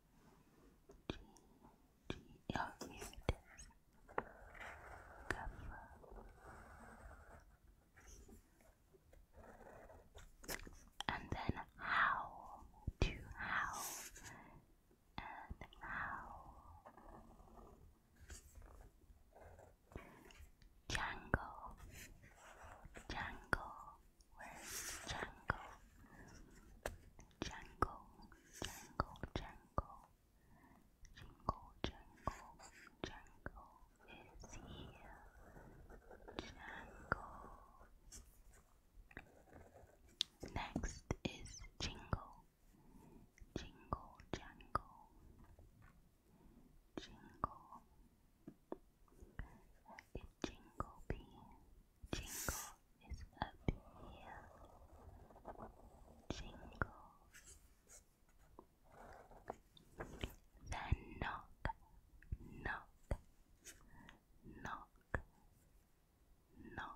G, G, oh, here it is. And then howl, to howl, and howl. Django, Django, where's Django? Jangle, jangle, jangle. Jingle, jangle, jangle is here. Jangle. Next is jingle. Jingle, jangle. Jingle. Let it jingle be. Jingle is up here. Jingle. Then knock, knock, knock, knock. knock.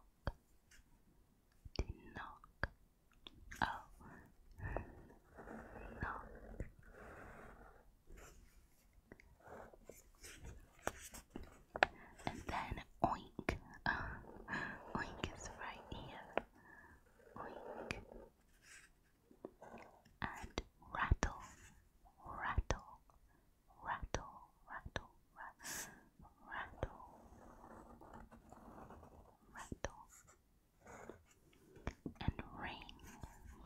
Oh, knock and then oink. Uh, oink is right here. Oink. And rattle, rattle, rattle, rattle, rattle, rattle, rattle. And ring,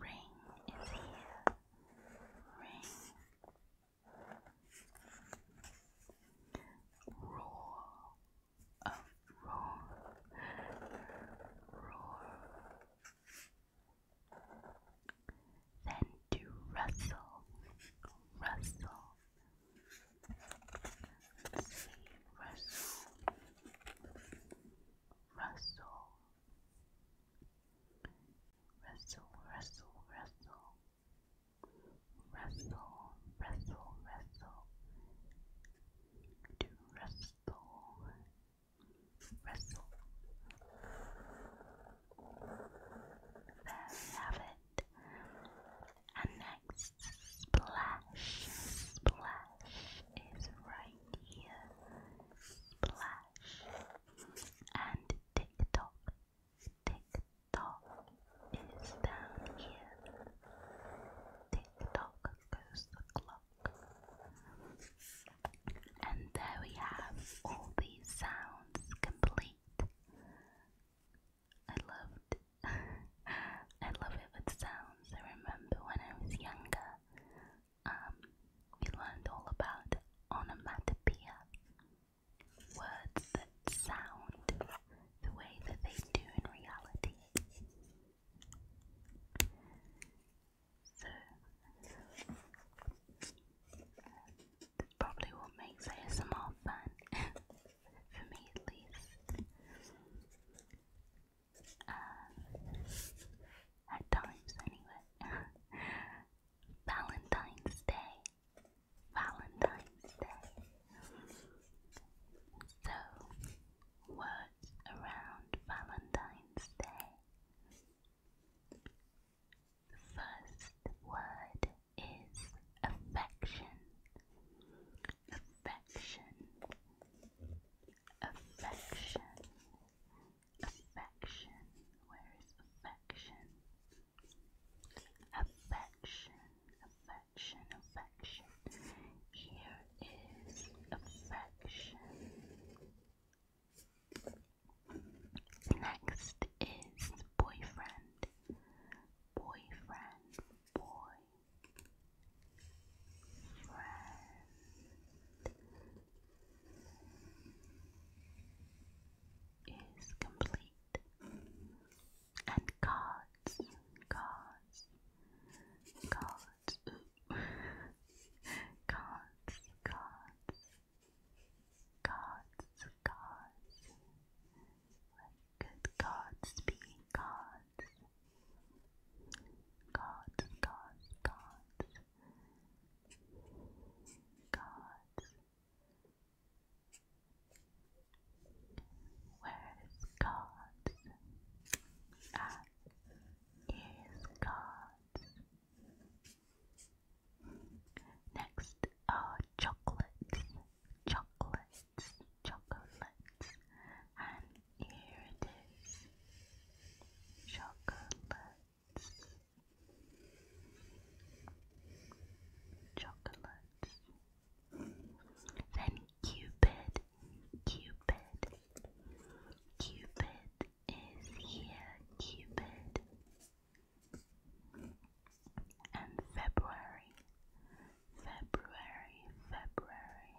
ring is here. Ring, Roar of roar, roar. Then to rustle, rustle. Let's see, rustle, rustle, rustle, rustle, rustle wrestle, wrestle, wrestle, to wrestle, wrestle. There we have it. And next, splash, splash is right here. Splash and tick tock, TikTok is down here. TikTok goes the clock. And there we have all these sounds complete. I loved I love it sounds. I remember when I was younger, um, we learned all about onomatopoeia words that sound the way that they do in reality. So, that's probably what makes ASMR fun, for me at least. Uh, at times, anyway. Valentine's Day Valentine's Day. So, words around Valentine's Day. The first word is affection. Affection. Affection. Affection. Where is affection? affection, affection, affection, Here is affection. Next is boyfriend, boyfriend, boy, friend is complete Mm. and gods, gods, gods, gods, gods, gods, gods. Let good gods be gods. Gods, gods, gods. Gods, where is God? Ah, here is God. Next are chocolates, chocolates, chocolates, and here it is. Chocolates, Chocolate. Then Cupid. Cupid. Cupid is here. Cupid. And February. February. February.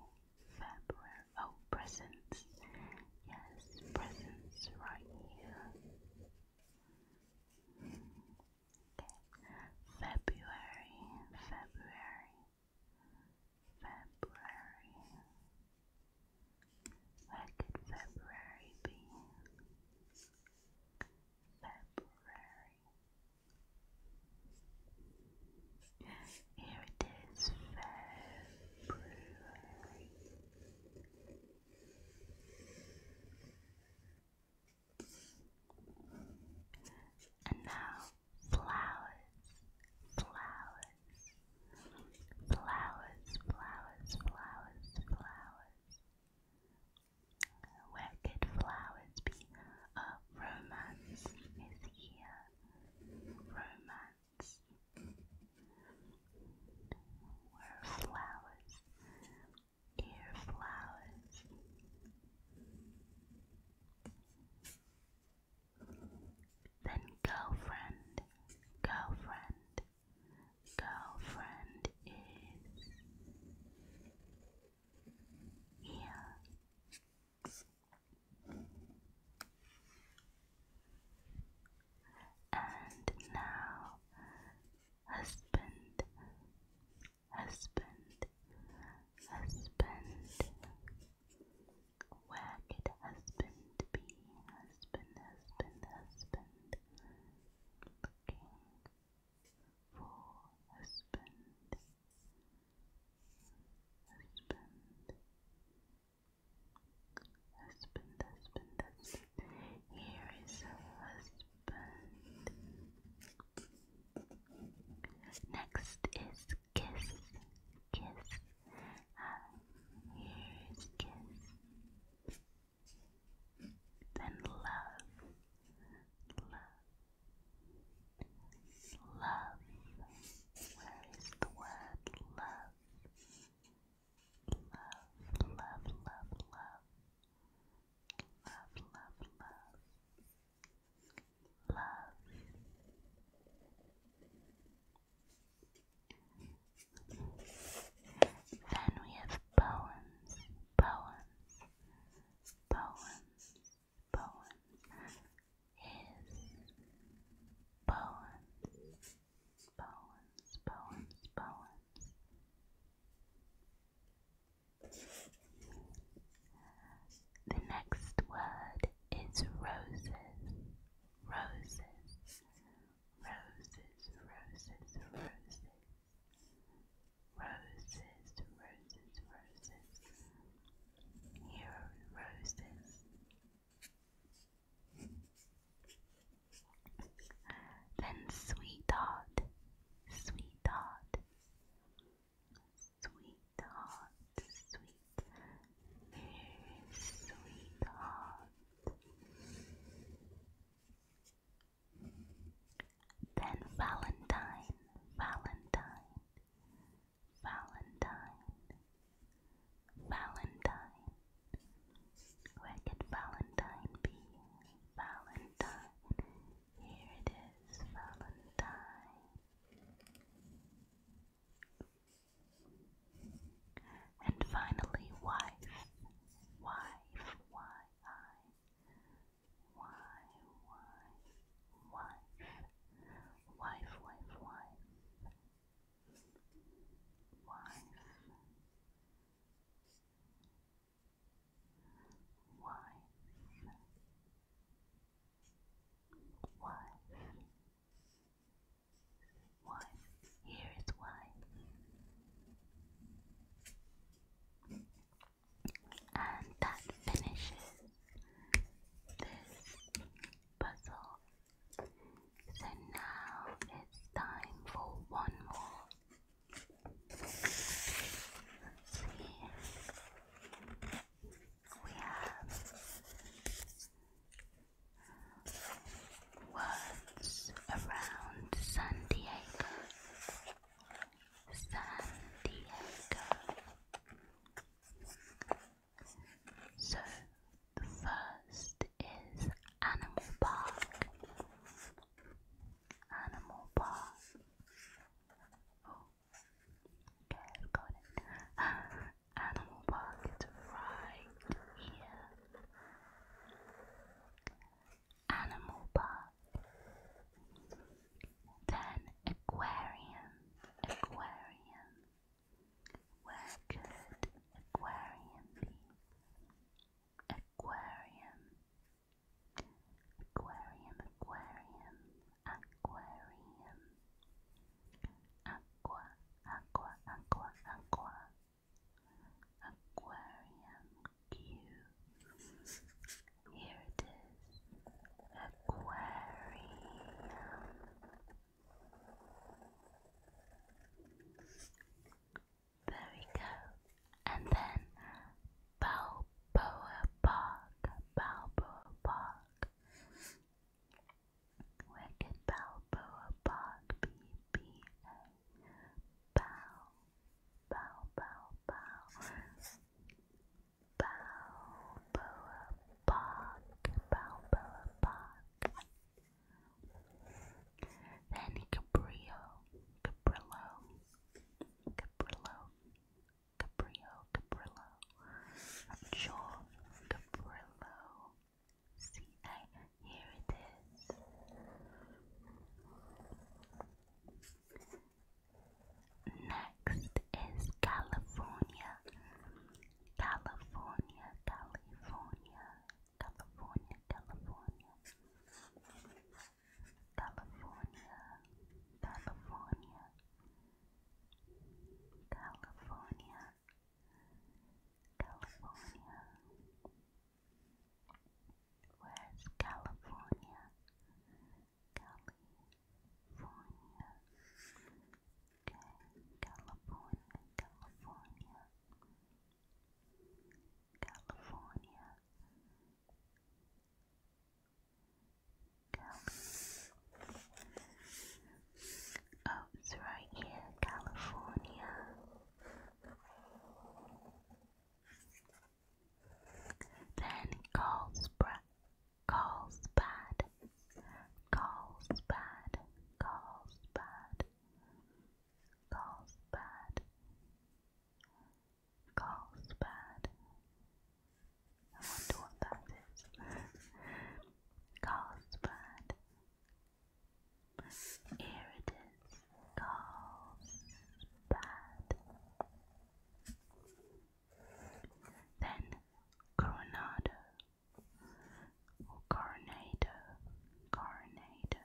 February. Oh, presents. Yes, presents right here. February, February, February. Where could February be? February. Here it is, February. And now flowers, flowers, flowers, flowers, flowers, flowers. flowers be? A romance is here. Romance. Where flowers? dear flowers. Then girlfriend, girlfriend, girlfriend is here. And now husband, husband, husband. Where could husband be? Husband, husband, husband. Looking for husband, husband, husband, husband, husband. Here is husband. Next is kiss, kiss. here is kiss. Then love, love, love. Where is the word love? Love, love, love, love love, love, love, love. Then we have poems, poems, poems, poems. His poems, poems, poems, poems. The next word is roses, roses, roses, roses, roses, roses, roses, roses. Here are roses. Then sweetheart, sweetheart, sweetheart, sweet, very sweetheart. Then Valentine, Valentine, Valentine, Valentine, where could Valentine be? Valentine. Here it is, Valentine. And finally, wife. Wife, Y-I. Y, Wife, wife, wife. Wife. Why? wife, wife. Here is wife, and that finishes this puzzle. So now it's time for one more we have words around San Diego. San Diego. So the first is Animal Park animal park. Oh, okay, got it. Animal paw right here. Animal paw. Then aquarium, aquarium. Where could aquarium be? Aquarium. Aquarium, aquarium, aquarium. Aqua, aqua, aqua, aqua. Aquarium Here it is. Aquarium. There we go. And then Balboa Park. Balboa Park. Where could Balboa Park be? B A. Bow. Bow, bow, bow. Balboa Park. Balboa Park. Then Cabrillo. Cabrillo. Caprillo, Caprio, Caprillo, John Caprillo. See, I here it is. Next is California, California, California, California, California. California, California, California, California. Where's California? California. California, California. California, Oh, it's right here, California. Then calls calls bad, calls bad, calls bad, calls bad. Carlsbad. I wonder what that is. Carlsbad. Here it is. Carlsbad. Then Coronado. Or Coronado. Coronado.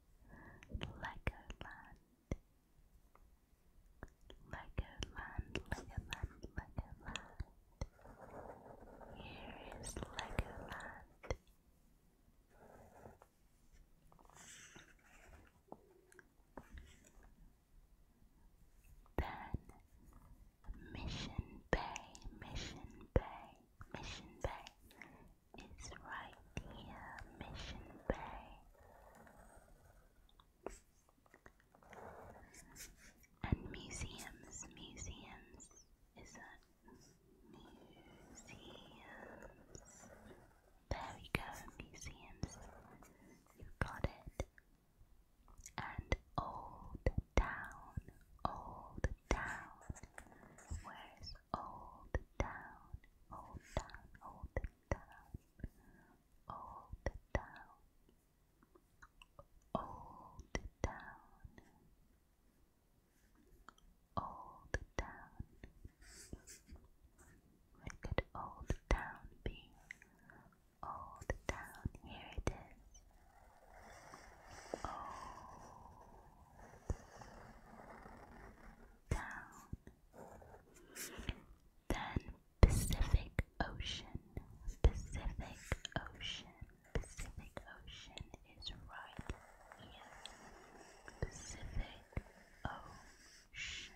Legoland, Legoland, Legoland, Legoland. Here is Legoland. Then Mission Bay, Mission Bay, Mission Bay is right near Mission Bay. And museums, museums, is that museums? There we go, museums. You got it. And Old Town, Old Town. Where's Old down, hold down, hold them down, hold it down, hold it down, Where could hold it be? Hold it here it is. Oh, down. Then Pacific Ocean, Pacific Ocean, Pacific Ocean is right here. Pacific Ocean.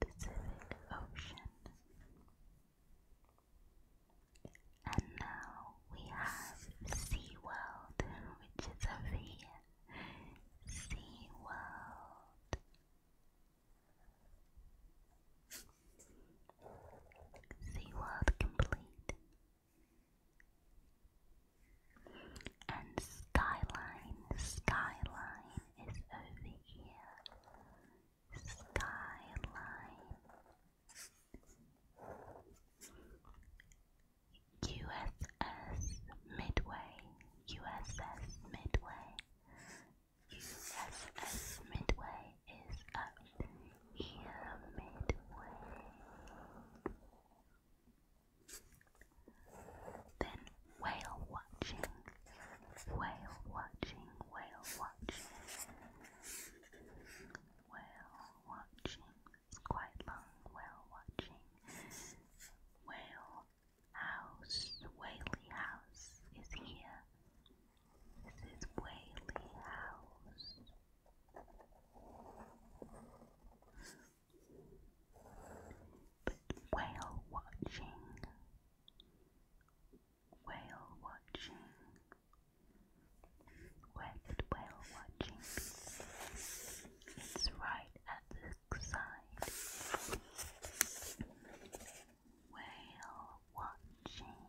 Pacific Ocean. And now we have SeaWorld, which is over here. SeaWorld. SeaWorld complete. And Skyline, Skyline is over here skyline, USS Midway, USS Midway, USS Midway is up here, Midway. Then whale watching. Whale watching, whale watching. Whale watching. It's quite long. Whale watching. Whale house. Whaley house is here. This is Whaley house. But whale watching whale watching. Where whale watching It's right at the side. Whale watching.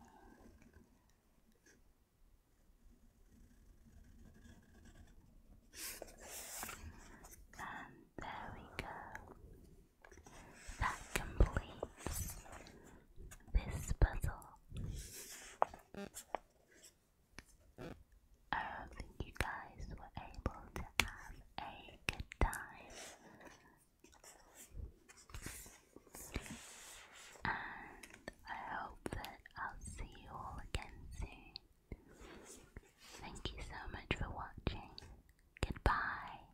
And there we go. That completes this puzzle. I hope that you guys were able to have a good time. And I hope that I'll see you all again soon. Thank you so much for watching. Goodbye.